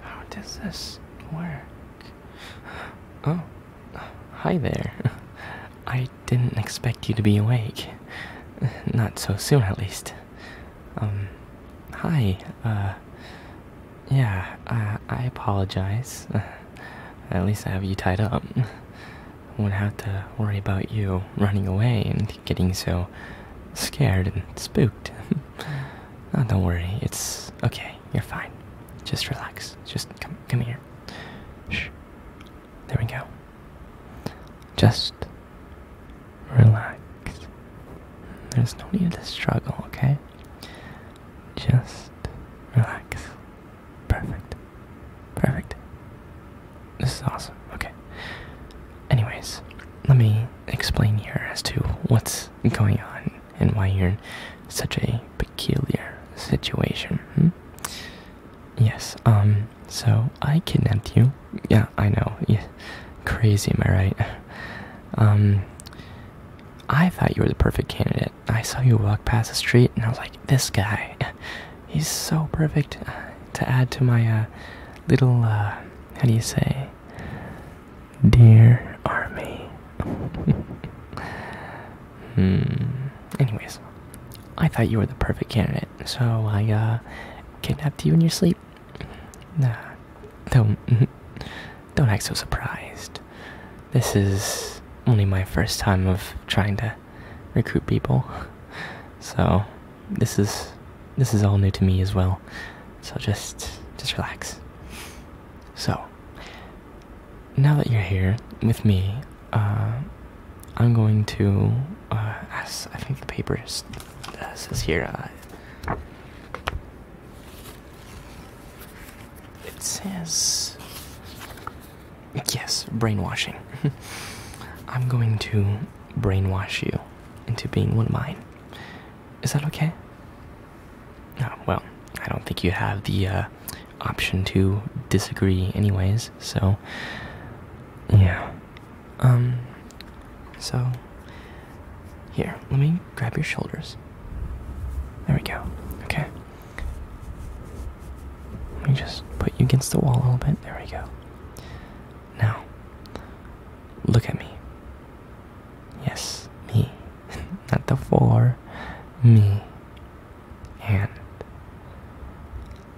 How does this work? Oh, hi there. I didn't expect you to be awake. Not so soon, at least. Um, hi, uh, yeah, uh, I apologize. At least I have you tied up. Won't have to worry about you running away and getting so scared and spooked. Oh, don't worry, it's okay. You're fine. Just relax. Just come, come here. Shh. There we go. Just relax. There's no need to struggle, okay? Just relax. Perfect. Perfect. This is awesome. Okay. Anyways, let me explain here as to what's going on and why you're in such a peculiar situation. Hmm? Yes, um, so I kidnapped you. Yeah, I know. Crazy, am I right? Um, I thought you were the perfect candidate. I saw you walk past the street and I was like, this guy, he's so perfect uh, to add to my uh, little uh, how do you say, dear army? hmm. Anyways, I thought you were the perfect candidate, so I uh, kidnapped you in your sleep. Nah, don't, don't act so surprised. This is only my first time of trying to recruit people, so this is this is all new to me as well. So just just relax. So now that you're here with me, uh, I'm going to uh, ask. I think the paper uh, says here. it says yes, brainwashing. I'm going to brainwash you into being one of mine. Is that okay? Oh, well, I don't think you have the uh, option to disagree, anyways, so. Yeah. Um. So. Here, let me grab your shoulders. There we go. Okay. Let me just put you against the wall a little bit. There we go. Now, look at me. Yes, me. Not the four. Me. And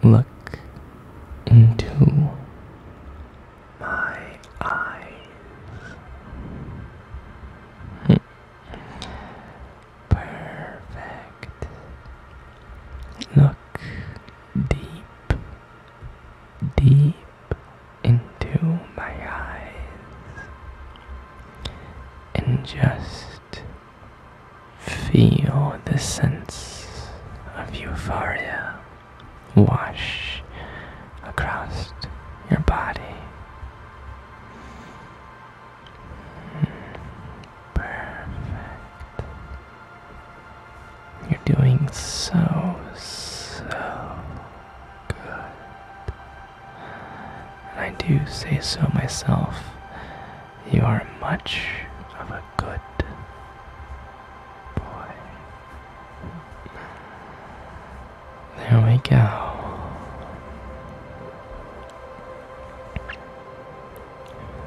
look into my eyes. Perfect. Look deep, deep into my eyes and just feel the sense of euphoria wash across your body. Perfect. You're doing so, so good. And I do say so myself. You are much of a good boy. There we go.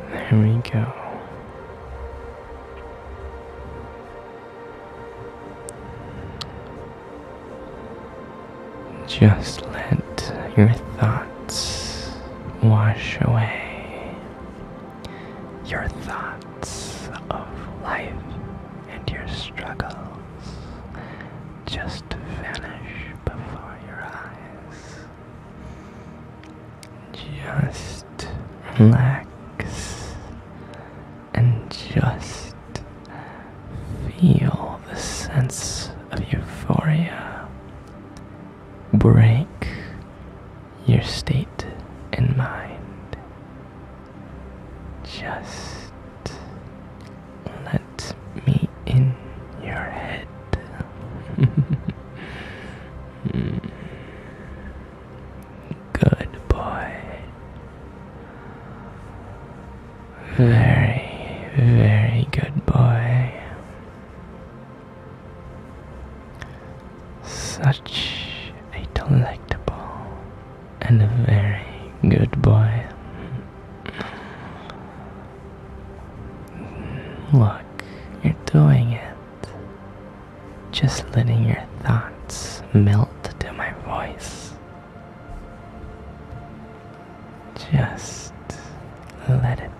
There we go. Just let your thoughts wash away. Your thoughts of life and your struggles just vanish before your eyes. Just relax and just feel the sense of euphoria break your state and mind. Just let me in your head. Good boy. Very, very good boy. Such a delectable and a very good boy. Look, you're doing it. Just letting your thoughts melt to my voice. Just let it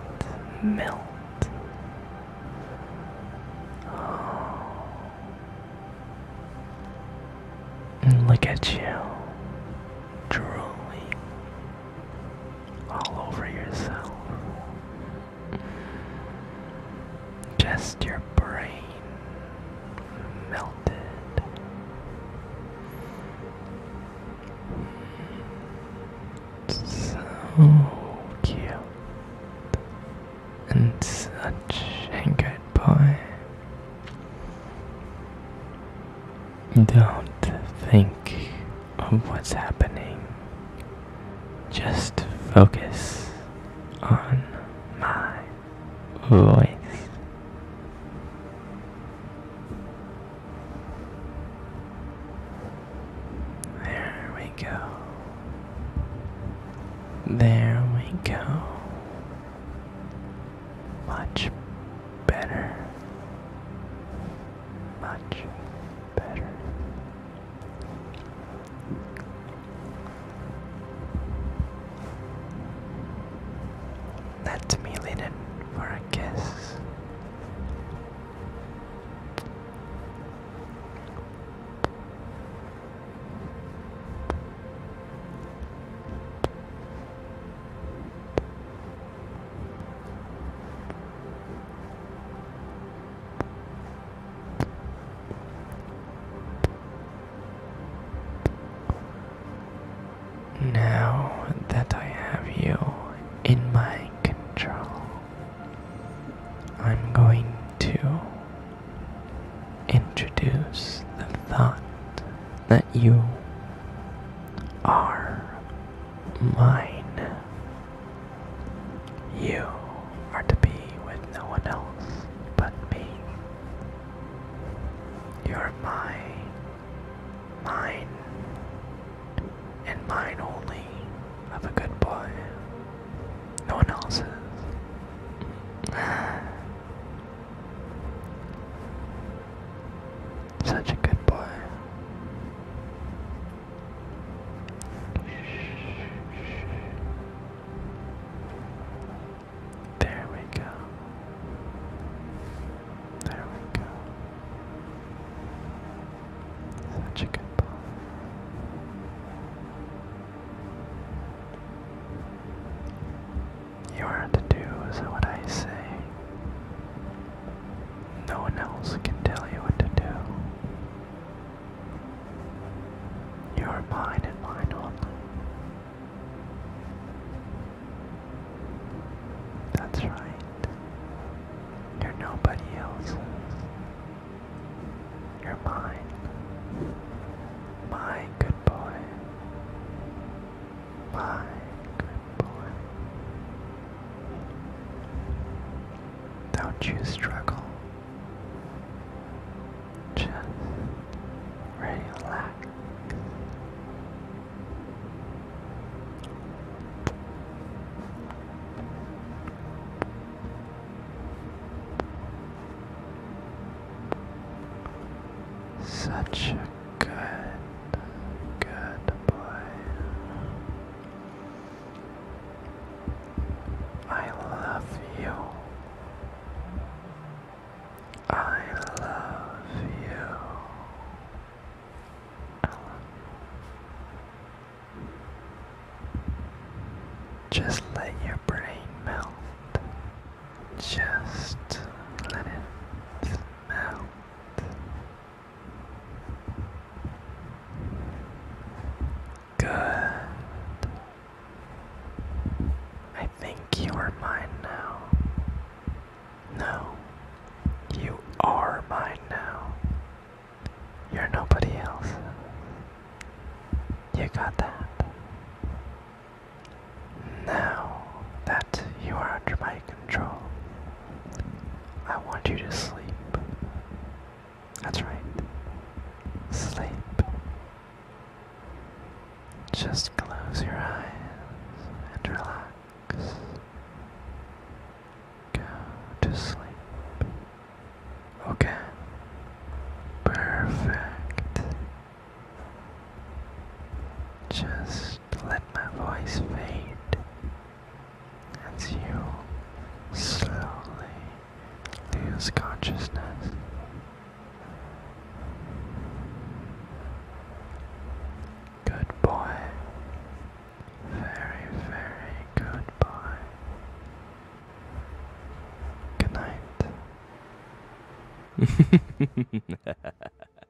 melt. And look at you, drooling all over yourself. Just your brain melted. So cute. And such a good boy. Don't think of what's happening. Just focus on my voice. There we go. There we go. Much better much better. Let's meal in for a kiss. Now that I have you in my control, I'm going to introduce the thought that you are mine. You are to be with no one else but me. You are my, mine, and mine only of a good boy. No one else's. Such a good boy. There we go. There we go. Such a good boy. You are to do as what I say. No one else can tell you what to do. You are mine and mine only. That's right. You're nobody else's. You're mine. My good boy. Bye. Good boy. Don't you struggle. Just relax. Such Good, good boy. I love you. I love you. Just let your brain melt. Just let it melt. Good. I think you are mine now. No, you are mine now. You're nobody else. You got that. Now that you are under my control, I want you to sleep. That's right. Sleep. Just close your eyes and relax. Go to sleep. Okay. Perfect. Just let my voice fade as you slowly lose consciousness. Good boy. Very, very good boy. Good night.